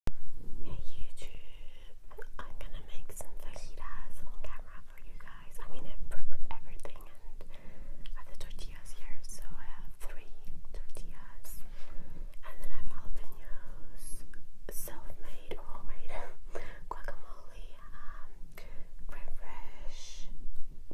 Hey YouTube, I'm gonna make some fajitas on camera for you guys. I mean, everything and I have the tortillas here, so I have three tortillas. And then I have jalapenos, self-made or homemade guacamole, um,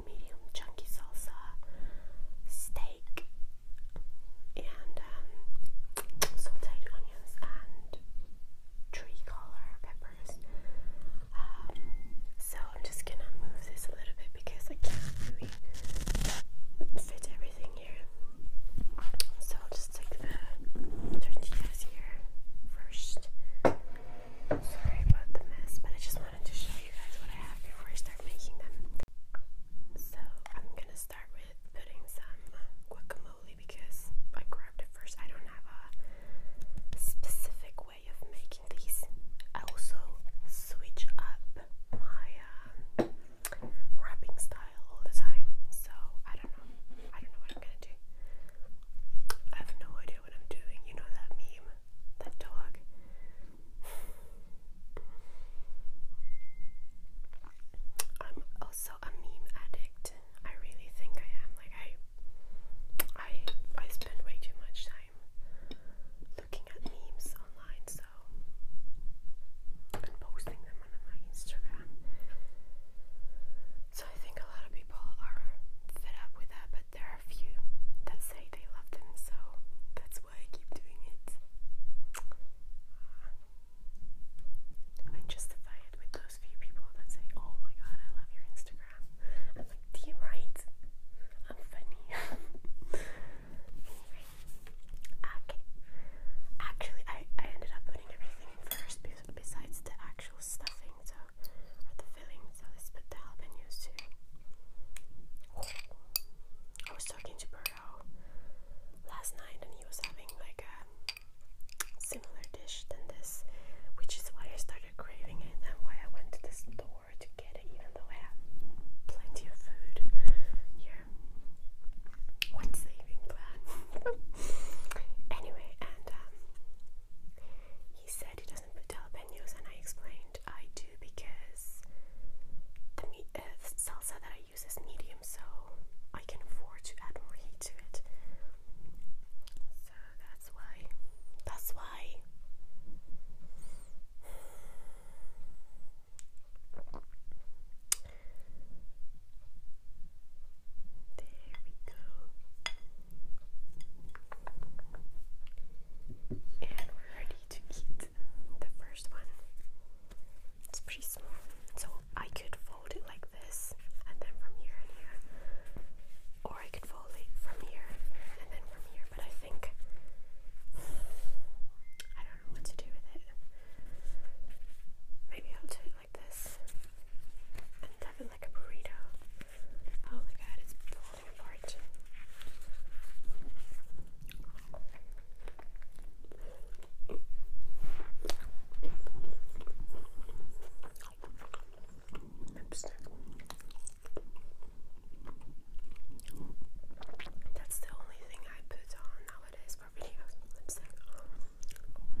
medium chunky salsa, steak, and um, sauteed onions and tree color peppers. Um, so I'm just gonna move this a little bit because I can't really fit everything here. So I'll just take the tortillas here first. Sorry about the mess, but I just wanted to show you guys what I have before I start making them. So I'm gonna start with putting some uh, guacamole because I grabbed it first. I don't have a specific way of making these. I also switch up my um, wrapping style all the time, so I don't know. I don't know what I'm gonna do. I have no idea what I'm doing. You know that meme, that dog. I'm also a meme addict. I really think I am. Like I, I, I spend way too much time looking at memes online, so and posting them on my Instagram. So I think a lot of people are fed up with that, but there are a few that say they love them. So that's why I keep doing it. I justify it with those few people that say, Oh my god, I love your Instagram. I'm like, Do right? I'm funny. okay. Actually, I, I ended up putting everything first besides the actual stuffing, so, or the filling, so let's the jalapenos too. I was talking to Burr Burrow last night, and he was having like a similar dish than this, which is why I started craving it and why I went to the store to get it, even though I have plenty of food here. One saving plan. anyway, and um, he said he doesn't put jalapenos, and I explained I do because the meat, uh, salsa that I use as medium, so I can afford to add more heat to it. So that's why. That's why. There we go. And we're ready to eat the first one. It's pretty small. So I could fold it like this and then from here and here. Or I could fold it from here and then from here. But I think I don't know what to do with it. Maybe I'll do it like this. And have it like a burrito. Oh my god, it's falling apart. That's the only thing I put on nowadays for videos. Lipstick.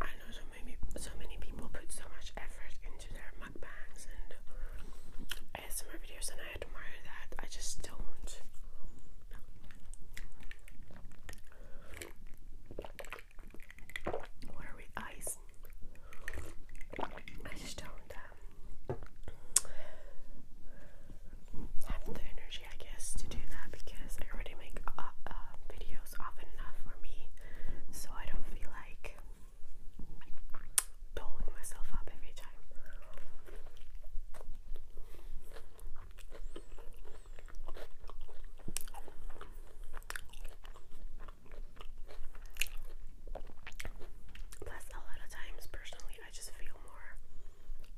I know so many so many people put so much effort into their mukbangs and ASMR videos, and I admire that. I just don't. What are we eyes? I just don't um, have the energy I guess, to do that because I already make uh, uh, videos often enough for me, so I don't feel like doling myself up every time. Plus, a lot of times, personally, I just feel more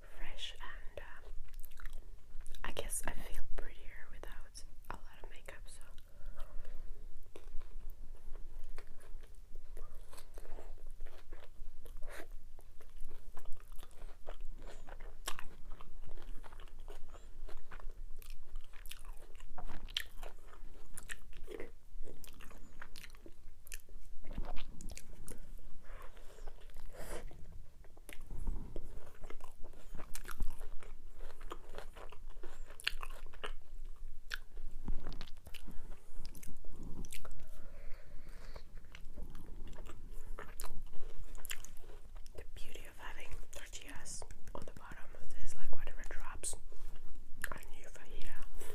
fresh and um, I guess I feel prettier without a lot of makeup so the beauty of having tortillas on the bottom of like whatever drops, are new fajita.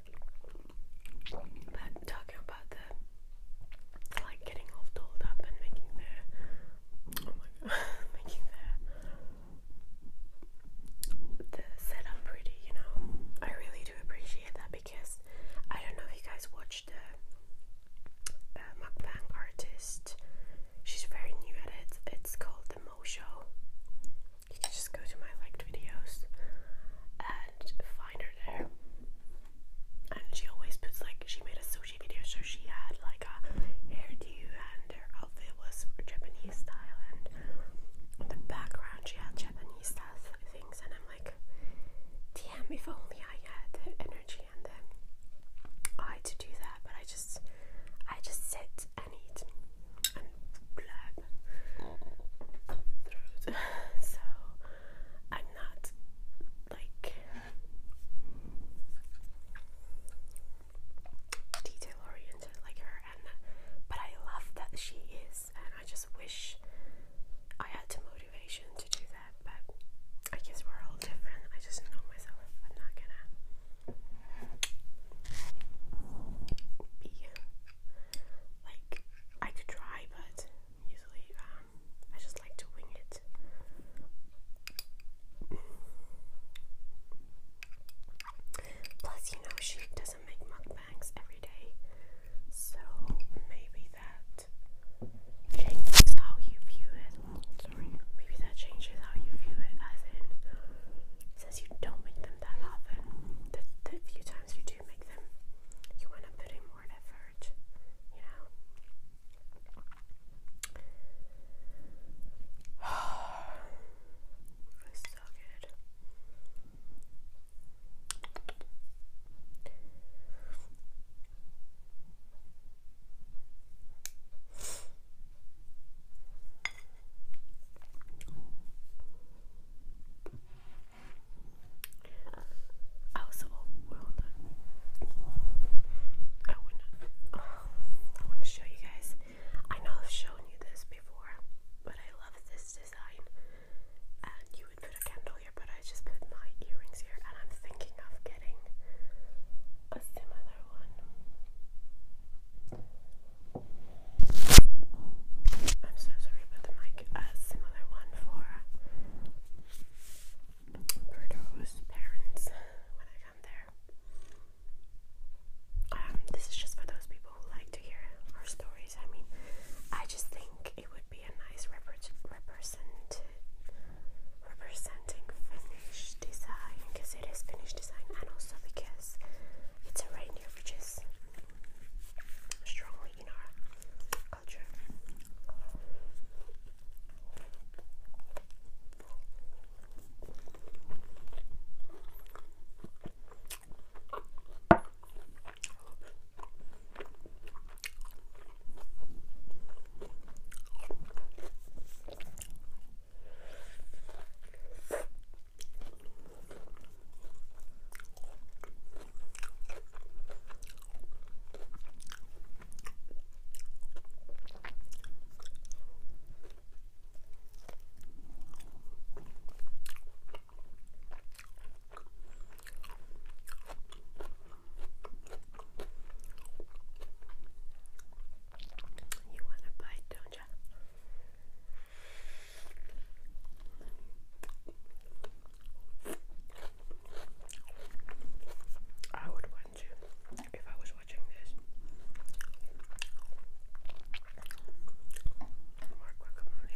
But talking about the like getting all dolled up and making their oh my god making their the setup pretty, you know. I really do appreciate that because I don't know if you guys watched the uh, artist. She's very new at it. It's called the Mo Show you can just go to my liked videos and find her there. And she always puts like she made a sushi video, so she had like a hairdo and her outfit was Japanese style, and the background she had Japanese style things. And I'm like, damn, if only I had the energy and the eye to do that. But I just, I just sit and eat so I'm not like detail oriented like her, and but I love that she is, and I just wish I had the motivation to do that. But I guess we're all different. I just know myself. I'm not gonna be like I could try, but usually um, I just like to wing it. Plus, you know, she doesn't make mukbangs every day, so maybe that changes how you view it. Sorry, maybe that changes how you view it, as in, since you don't make them that often, the few times sometimes you do make them, you want to put in more effort, you know. it's so good. I was so overwhelmed. I want to, oh, I want to show you guys. I know I've shown you this before, but I love this design. And you would put a candle here, but I just put my earrings here, and I'm thinking of getting a similar one. I'm so sorry about the mic. A uh, similar one for Birdo's parents when I come there. Um, this is just for those people who like to hear our stories. I mean, I just think it would be a nice represent representing Finnish design because it is Finnish design, and also because it's a reindeer, which strongly in our culture. You want a bite, don't you? I would want to if I was watching this. More guacamole.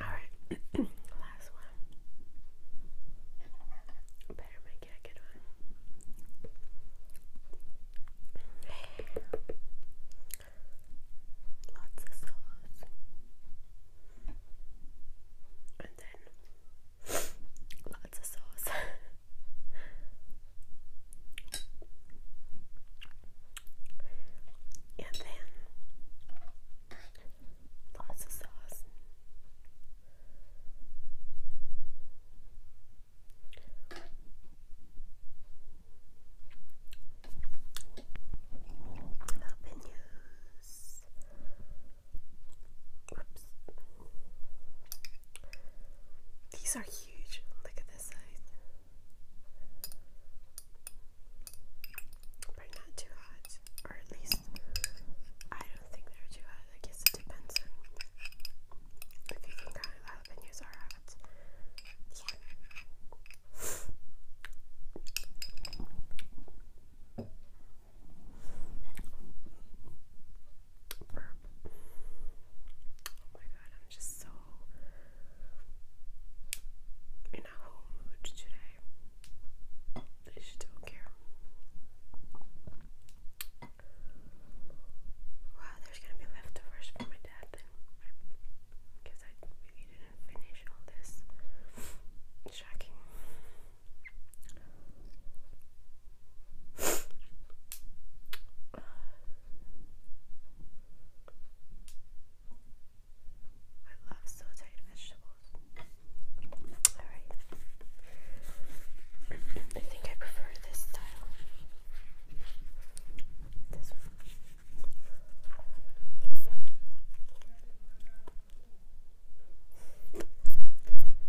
Alright, last one. Better make it a good one. Lots of sauce. And then lots of sauce. And then lots of sauce. Open news. These are huge. Look at this size. But not too hot. Or at least I don't think they're too hot. I guess it depends on if you think kind of are hot. Yeah. Burp. Oh my god, I'm just so in a whole mood today. I just don't care. Wow, there's gonna be leftovers for my dad then. Because I really didn't finish all this. Shocking. I love sauteed vegetables. Alright. I think I prefer this style. This one.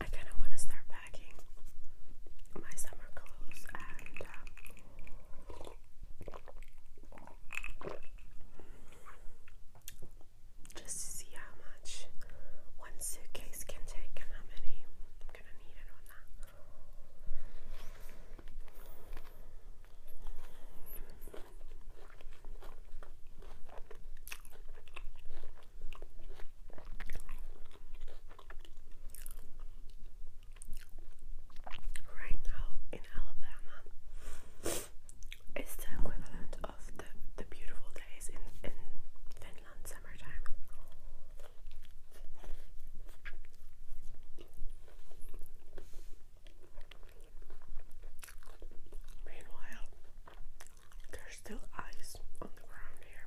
I kind of want to start packing my summer clothes and um, just to see how much one suitcase can take and how many gonna need it on that. Right now in Alabama, it's the equivalent of the, the beautiful days in, in Finland summertime. Meanwhile, there's still ice on the ground here.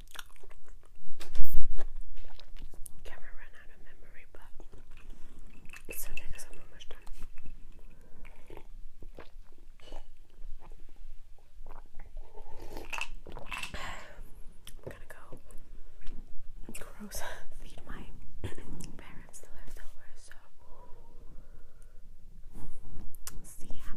Camera ran out of memory, but it's okay because I'm almost done. I'm gonna go gross feed my parents the leftovers, so see ya.